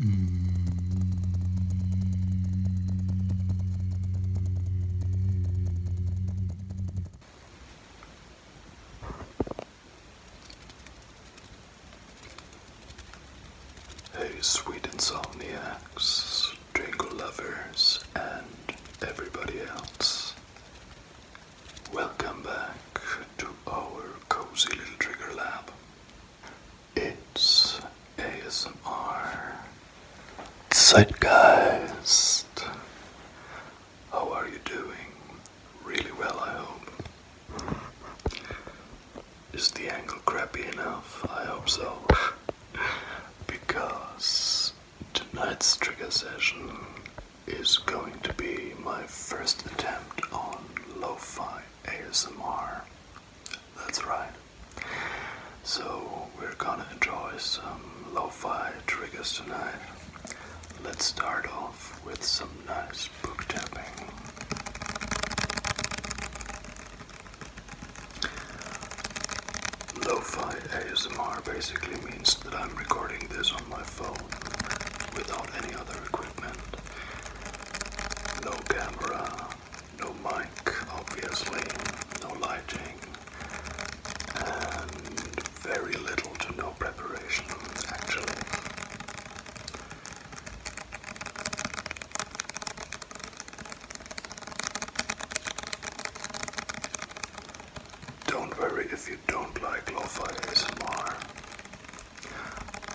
Mm. Hey, sweet insomniacs, jingle lovers, and everybody else. Welcome back to our cozy little trigger lab. It's ASMR Zeitgeist. How are you doing? Really well, I hope. Is the angle crappy enough? I hope so. because tonight's trigger session is going to be my first attempt on lo fi ASMR. That's right. So, we're gonna enjoy some lo fi triggers tonight. Let's start off with some nice book tapping. Lo-fi ASMR basically means that I'm recording this on my phone without any other equipment. No camera, no mic, obviously, no lighting, and very little to no preparation, actually. Don't worry if you don't like lo ASMR.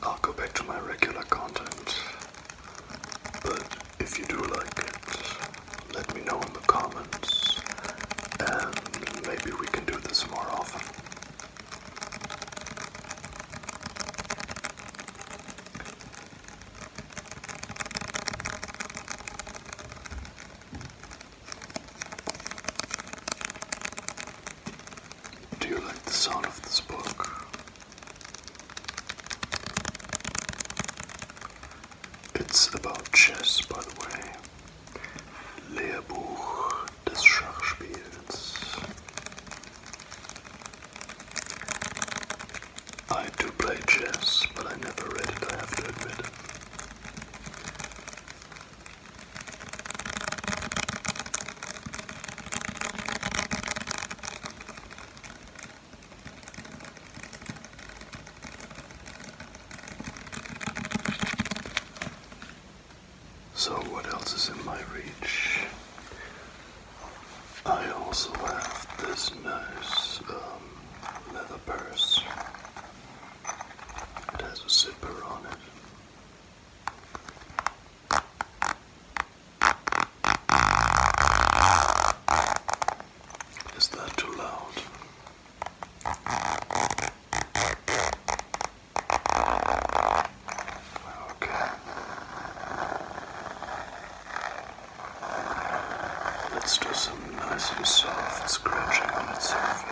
I'll go back to my regular content. But if you do like it, let me know in the comments, and maybe we can do this more often. Do you like the sound of this book? It's about chess, by the way. Lehrbuch des Schachspiels. I do play chess, but I never read it, I have to admit. So, what else is in my reach? I also have this nice um, leather purse. It has a zipper on it. Is that too loud? Okay. Let's do some nice and soft scratching on its surface.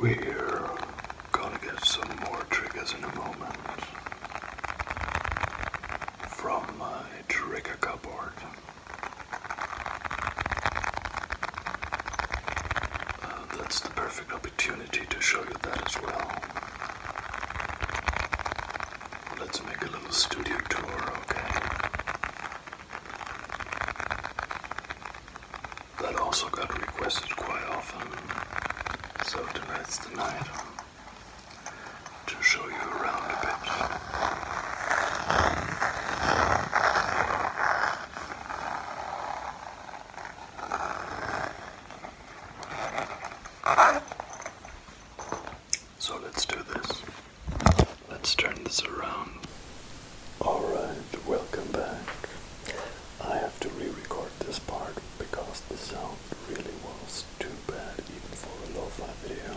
We're gonna get some more triggers in a moment from my trigger cupboard. Uh, that's the perfect opportunity to show you that as well. Let's make a little studio tour, okay? That also got requested quite often. So tonight's the night um, to show you around a bit. So let's do this. Let's turn this around. Alright, welcome back. I have to re record this part because the sound really was too bad, even for a low fi video.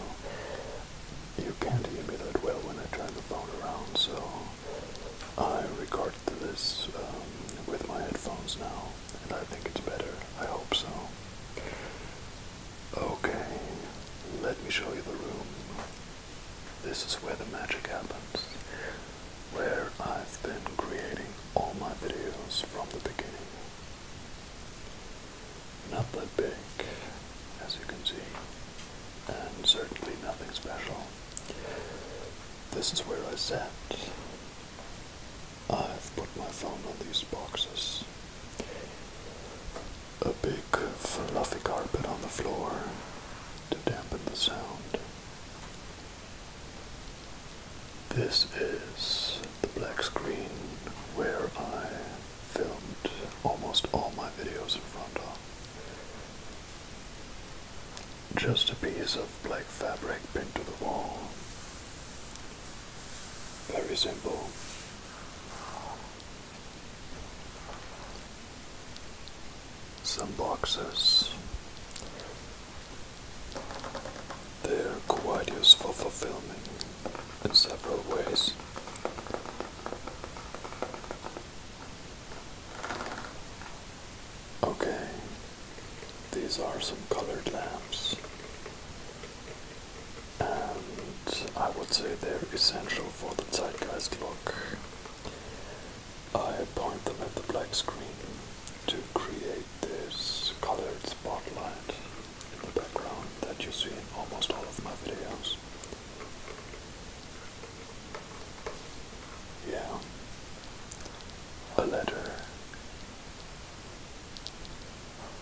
You can't hear me that well when I turn the phone around, so I record this um, with my headphones now, and I think it's better. I hope so. Okay, let me show you the room. This is where the magic happens, where I've been creating all my videos from the beginning. Not that big, as you can see, and certainly nothing special. This is where I sat. I've put my phone on these boxes. A big fluffy carpet on the floor to dampen the sound. This is the black screen where I filmed almost all my videos in front of. Just a piece of black fabric pinned to the wall. Very simple. Some boxes. They're quite useful for filming in several ways. Okay, these are some colored lamps and I would say they're essential for the tight guys' look. I point them at the black screen to create this colored spotlight in the background that you see in almost all of my videos. Yeah, a letter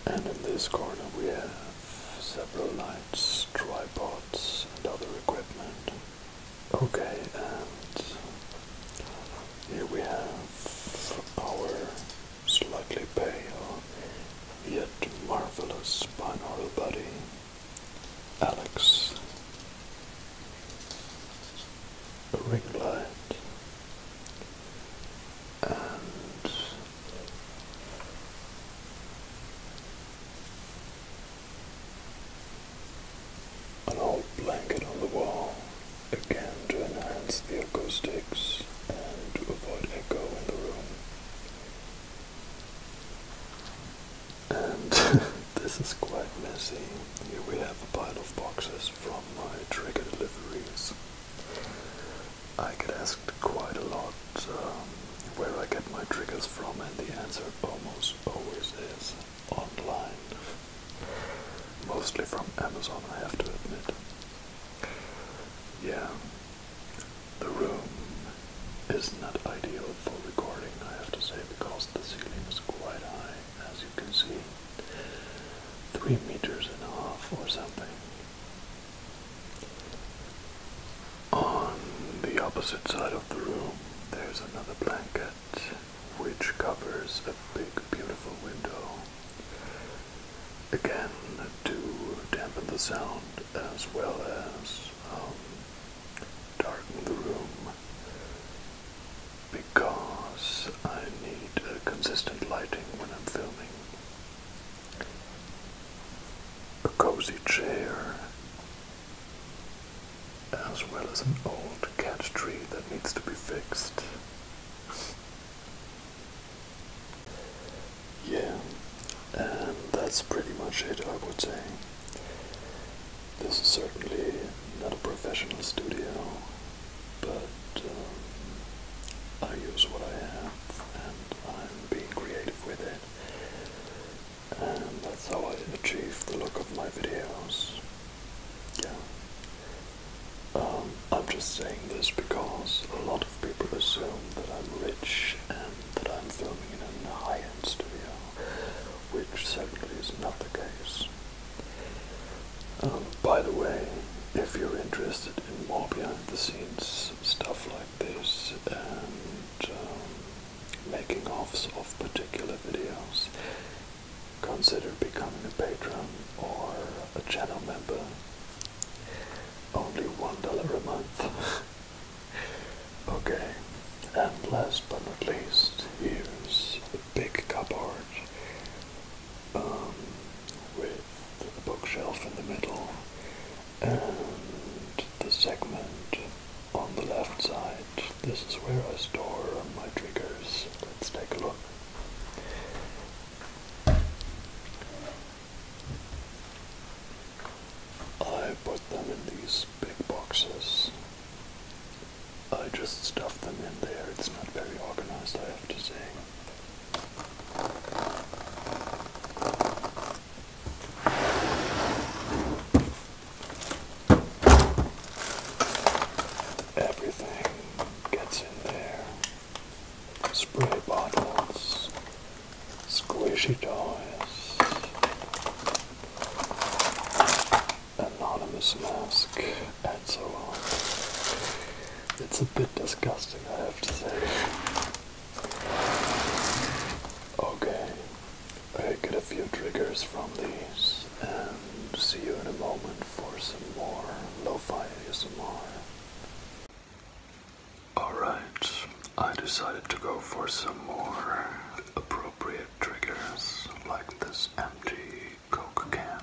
and in this corner we have several lights, tripods and other equipment. Okay, and here we have our slightly pale yet marvelous binaural buddy, Alex. A ring light and an old blanket on the wall, again to enhance the acoustics and to avoid echo in the room. And this is quite messy. Here we have a pile of boxes from my trigger deliveries. I get asked quite a lot um, where I get my triggers from, and the answer almost always is online. Mostly from Amazon, I have to admit. Yeah, the room is not ideal for recording, I have to say, because the ceiling is quite high, as you can see. Three meters and a half or something. On the opposite side of the room, there's another blanket which covers a big, beautiful window. Again, to dampen the sound as well as um, darken the room, because I need consistent lighting when I'm filming a cozy chair, as well as an old cat tree that needs to be fixed. yeah, and that's pretty much it, I would say. This is certainly not a professional studio but um, I use what I have and I'm being creative with it. And that's how I achieve the look of my videos. Yeah. Um, I'm just saying this because a lot of people assume that I'm rich and that I'm filming in a high-end studio, which certainly is not the case. Um, by the way, if you're interested in more behind the scenes stuff like this and um, making offs of particular videos, consider becoming a patron or a channel member. Only one dollar a month. okay, and last but not least, here's a big cupboard um, with a bookshelf in the middle and the segment on the left side. This is where I store my triggers. Let's take a look. I put them in these big boxes. I just stuff them in there. It's not very organized, I have to say. Everything gets in there. Spray bottles, squishy toys, anonymous mask, so It's a bit disgusting, I have to say. Okay, I get a few triggers from these, and see you in a moment for some more lo-fi ASMR. Alright, I decided to go for some more appropriate triggers like this empty Coke can.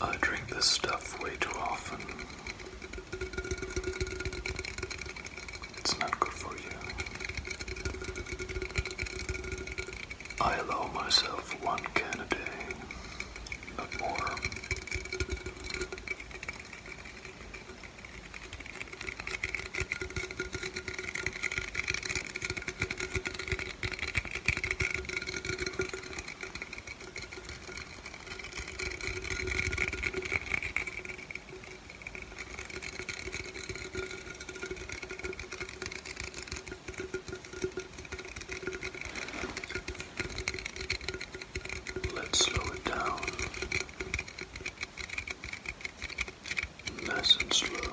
I drink this stuff way too often. It's not good for you. I allow myself one can a day, not more. Let's slow it down nice and slow.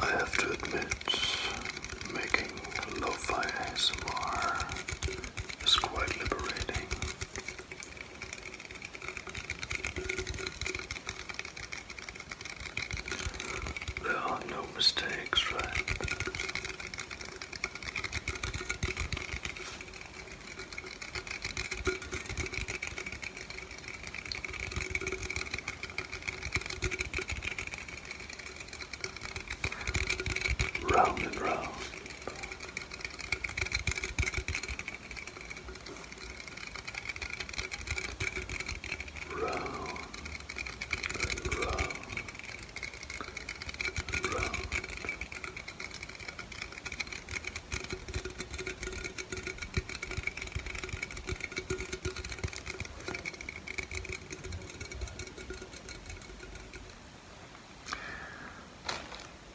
I have to admit, making lo-fi ASMR is quite liberating. There are no mistakes, right? Round and round round and round and round.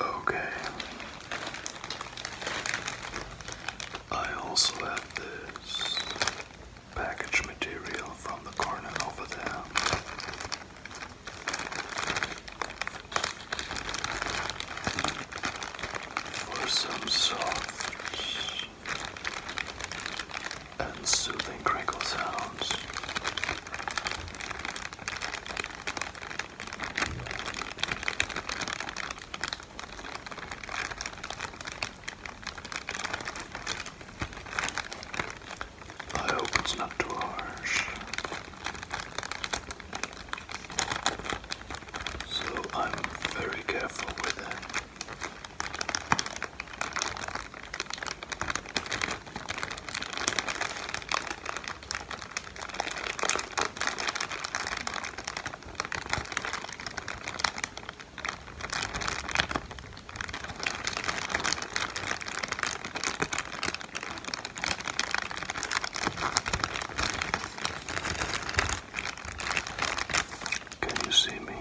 Okay, I also have this package material from the corner over there. For some soft and soothing crinkle sounds. I hope it's not too harsh. So I'm very careful with it. Can you see me?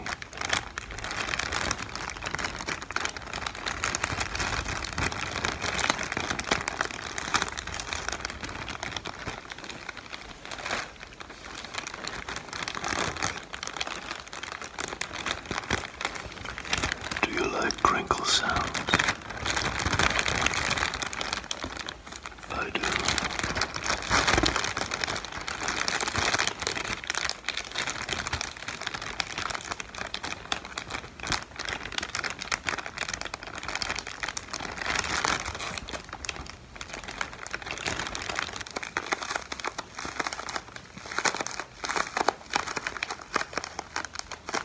Do you like crinkle sounds? I do.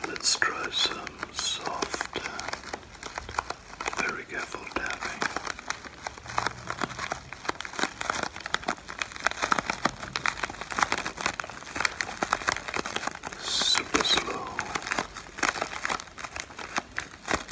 Let's try some soft, uh, very careful tapping. Super slow.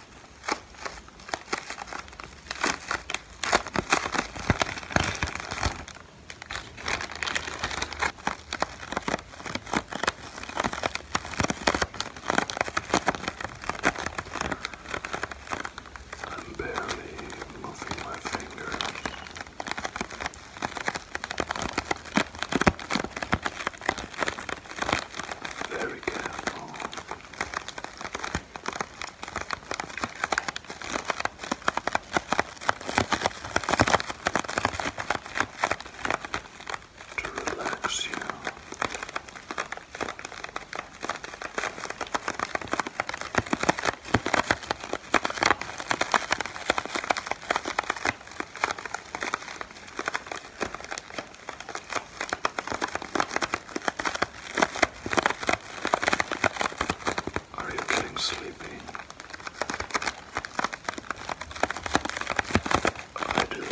I'm barely moving my finger. Very careful. To relax you. Are you getting sleepy? I do.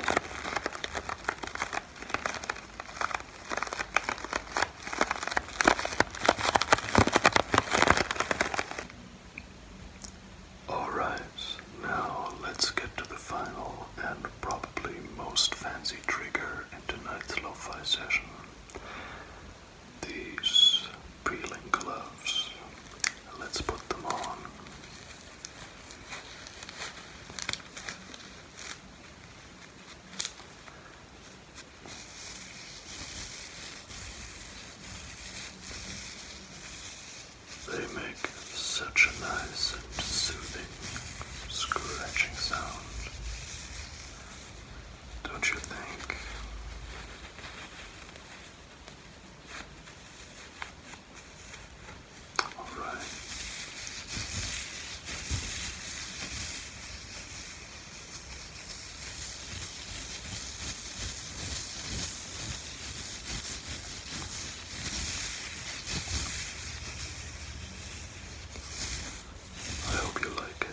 Alright, now let's get to the final and probably most fancy trigger in tonight's lo fi session these peeling gloves. Let's put them on. They make such a nice and soothing scratching sound. Don't you think? All right. I hope you like it.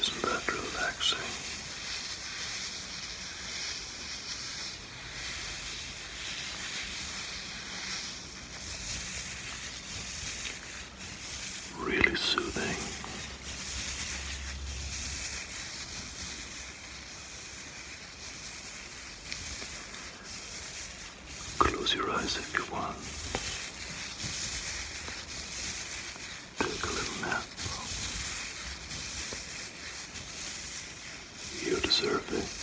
Isn't that relaxing? Really soothing. Close your eyes everyone. you Take a little nap. You deserve this.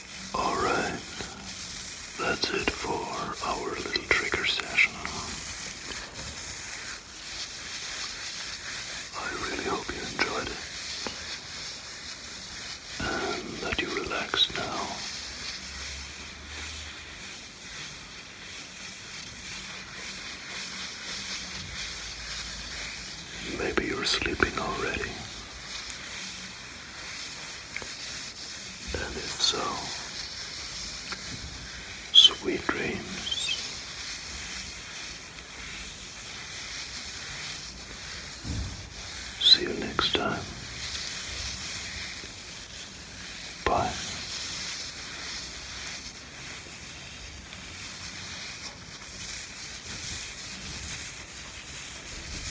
Alright, that's it for our little trigger session. I really hope you enjoyed it and that you relax now. Maybe you're sleeping already. And if so, sweet dreams. See you next time. Bye.